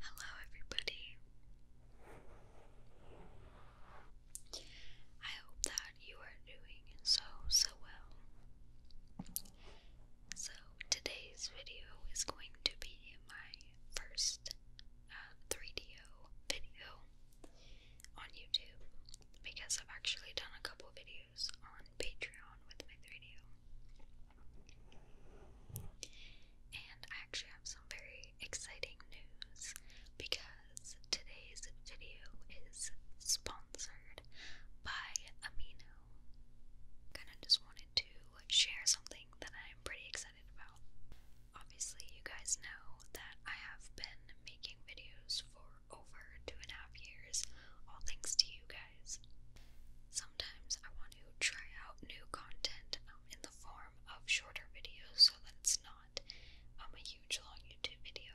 Hello, everybody. I hope that you are doing so, so well. So, today's video is going to be my first 3DO uh, video on YouTube because I've actually done a couple videos on Patreon with my 3DO. And I actually have some very exciting news because today's video is sponsored by Amino. Kind of just wanted to share something that I'm pretty excited about. Obviously, you guys know that I have been making videos for over two and a half years, all thanks to you guys. Sometimes I want to try out new content um, in the form of shorter videos so that it's not um, a huge long YouTube video.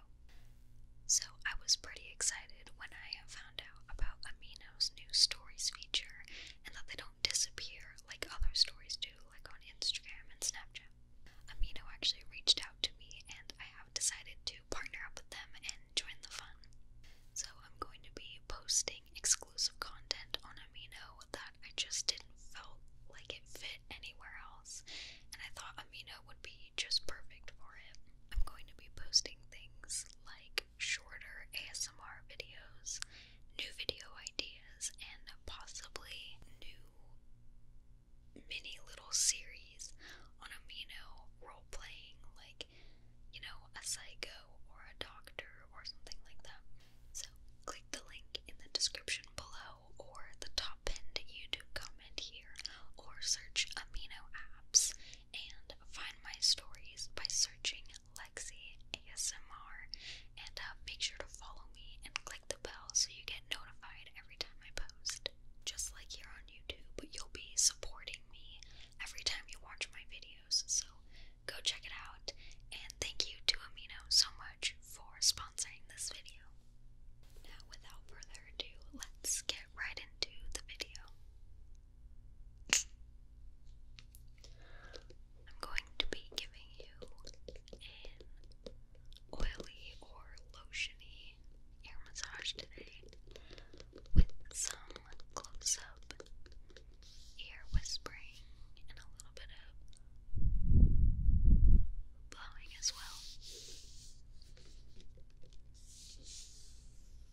So I was pretty excited when I found out about Amino's new stories feature and that they don't disappear like other stories do, like on Instagram and Snapchat. Amino actually reached out to me, and I have decided to partner up with them and join the fun. So I'm going to be posting exclusive content on Amino that I just didn't feel like it fit anywhere else, and I thought Amino would be just perfect for it. I'm going to be posting things like shorter ASMR videos, new video ideas, and possibly new mini little series on Amino role playing, like, you know, a psycho or a doctor or something like that. So, click the link in the description below or the top end YouTube comment here, or search Amino Apps and find my stories by searching Lexi ASMR, and uh, make sure to follow me and click the bell so you get notified every time I post. Just like here on YouTube, you'll be supporting me every time you watch my videos, so go check it out. And thank you to Amino so much for sponsoring this video. Now, without further ado, let's get right into the video. I'm going to be giving you an oily or lotiony ear massage today with some close-up ear whispering and a little bit of blowing as well.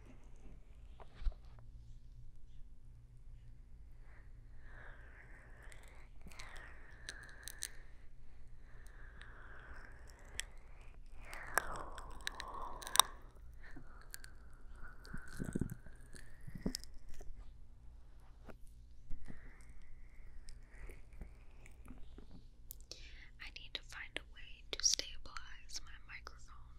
I need to find a way to stabilize my microphone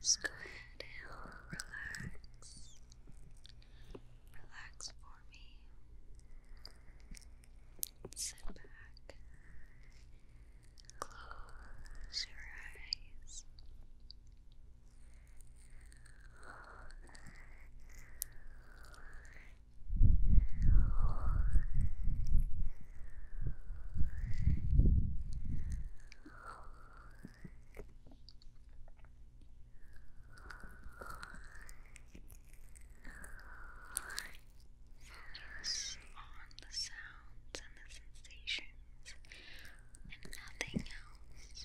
Just go ahead and relax. Relax for me. Sit back. Close your eyes. Focus on the sounds and the sensations and nothing else.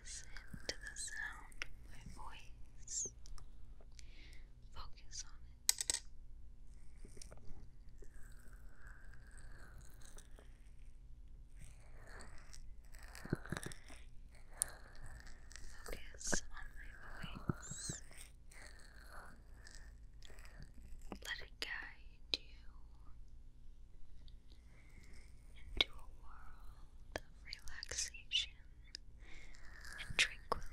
Listen to the sound of my voice. Focus on it. Focus on my voice. Let it guide you into a world of relaxation and tranquility.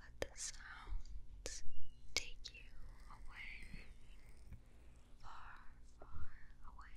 Let the sounds take you away, far, far away.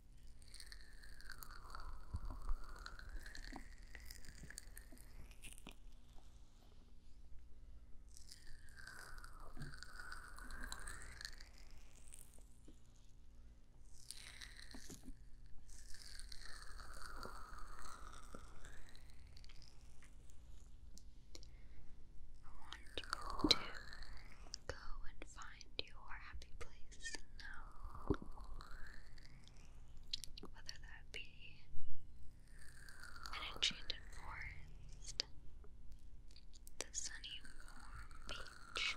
I you go and find find your happy place now. Whether that be an enchanted forest, the sunny beach,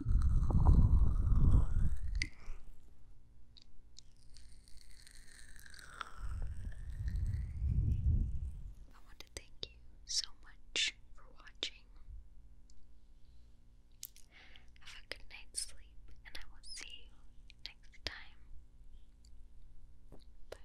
I want to thank you so much for watching. Have a good night's sleep, and I will see you next time. Bye bye.